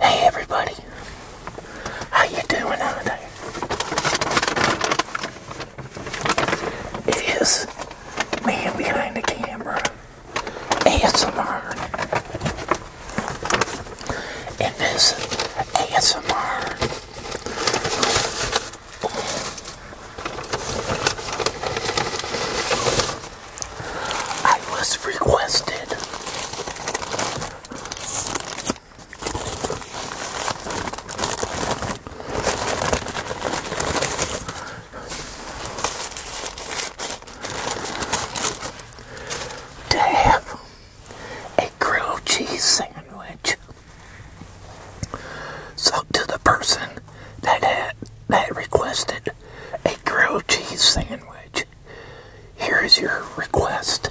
Hey everybody, how you doing out there? It is man behind the camera, ASMR, and this ASMR I was requested to have a grilled cheese sandwich. So to the person that had that requested a grilled cheese sandwich, here is your request.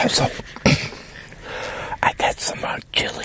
Also, I got some uh, chili.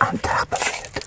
on top of it.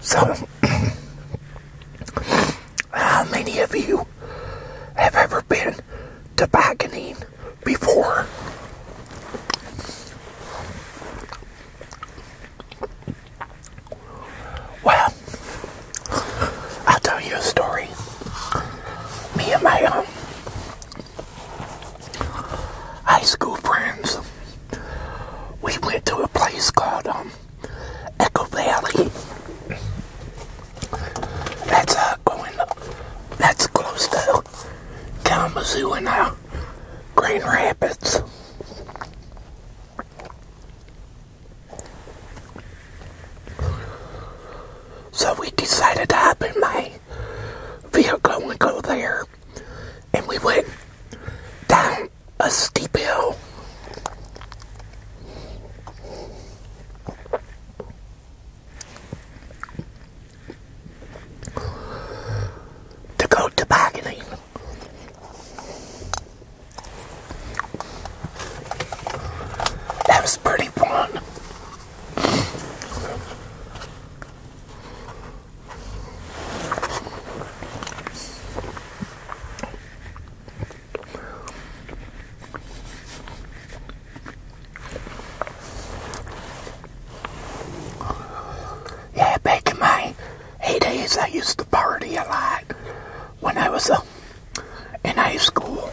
So, how many of you have ever been tobogganing before? Well, I'll tell you a story. Me and my um, high school friends, we went to a place called um, Echo Valley. That's uh, going. That's close to Kalamazoo and uh, Green Rapids. So we decided to have a my my vehicle and go there. And we went down a steep hill. To go tobogganing. That was pretty fun. Yeah, back in my heydays, I used to party a lot when I was uh, in high school.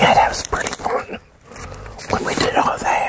Yeah, that was pretty fun when we did all that.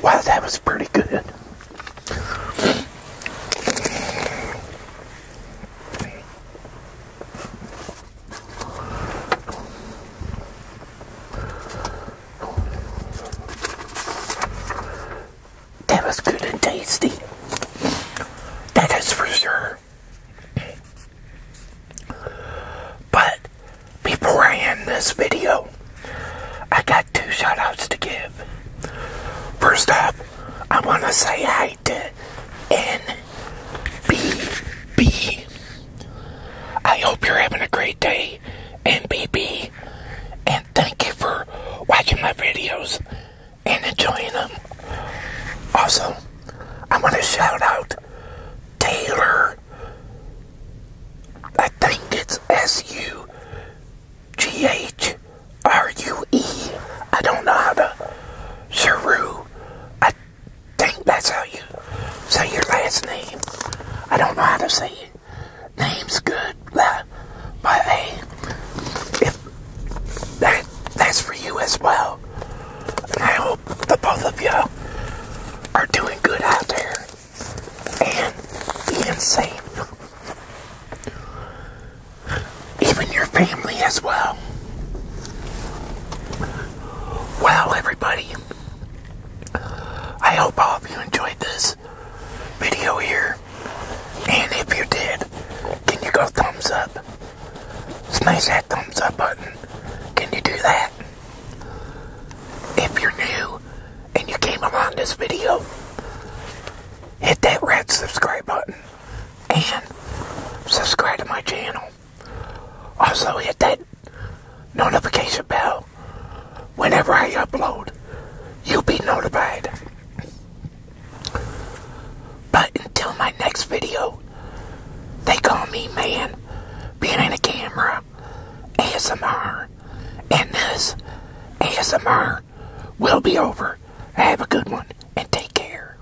Wow, that was pretty good. That was good and tasty. That is for sure. But before I end this video, I got two shout outs to give. First off, I want to say hi to NBB I hope you're having a great day, and MBB, and thank you for watching my videos and enjoying them. Also, I want to shout out Taylor. I think it's S U G H R U E. I don't know how to. Saru. I think that's how you say your last name. I don't know how to say it. Name's good, but, if that's for you as well. And I hope the both of you are doing good out there and being safe. Even your family as well. Well, everybody. I hope all of you enjoyed this video here. And if you did, can you go thumbs up? Smash that thumbs up button. Can you do that? If you're new and you came around this video, hit that red subscribe button and subscribe to my channel. Also hit that notification bell whenever I upload, you'll be notified. But until my next video, they call me man behind the camera, ASMR, and this ASMR will be over. Have a good one and take care.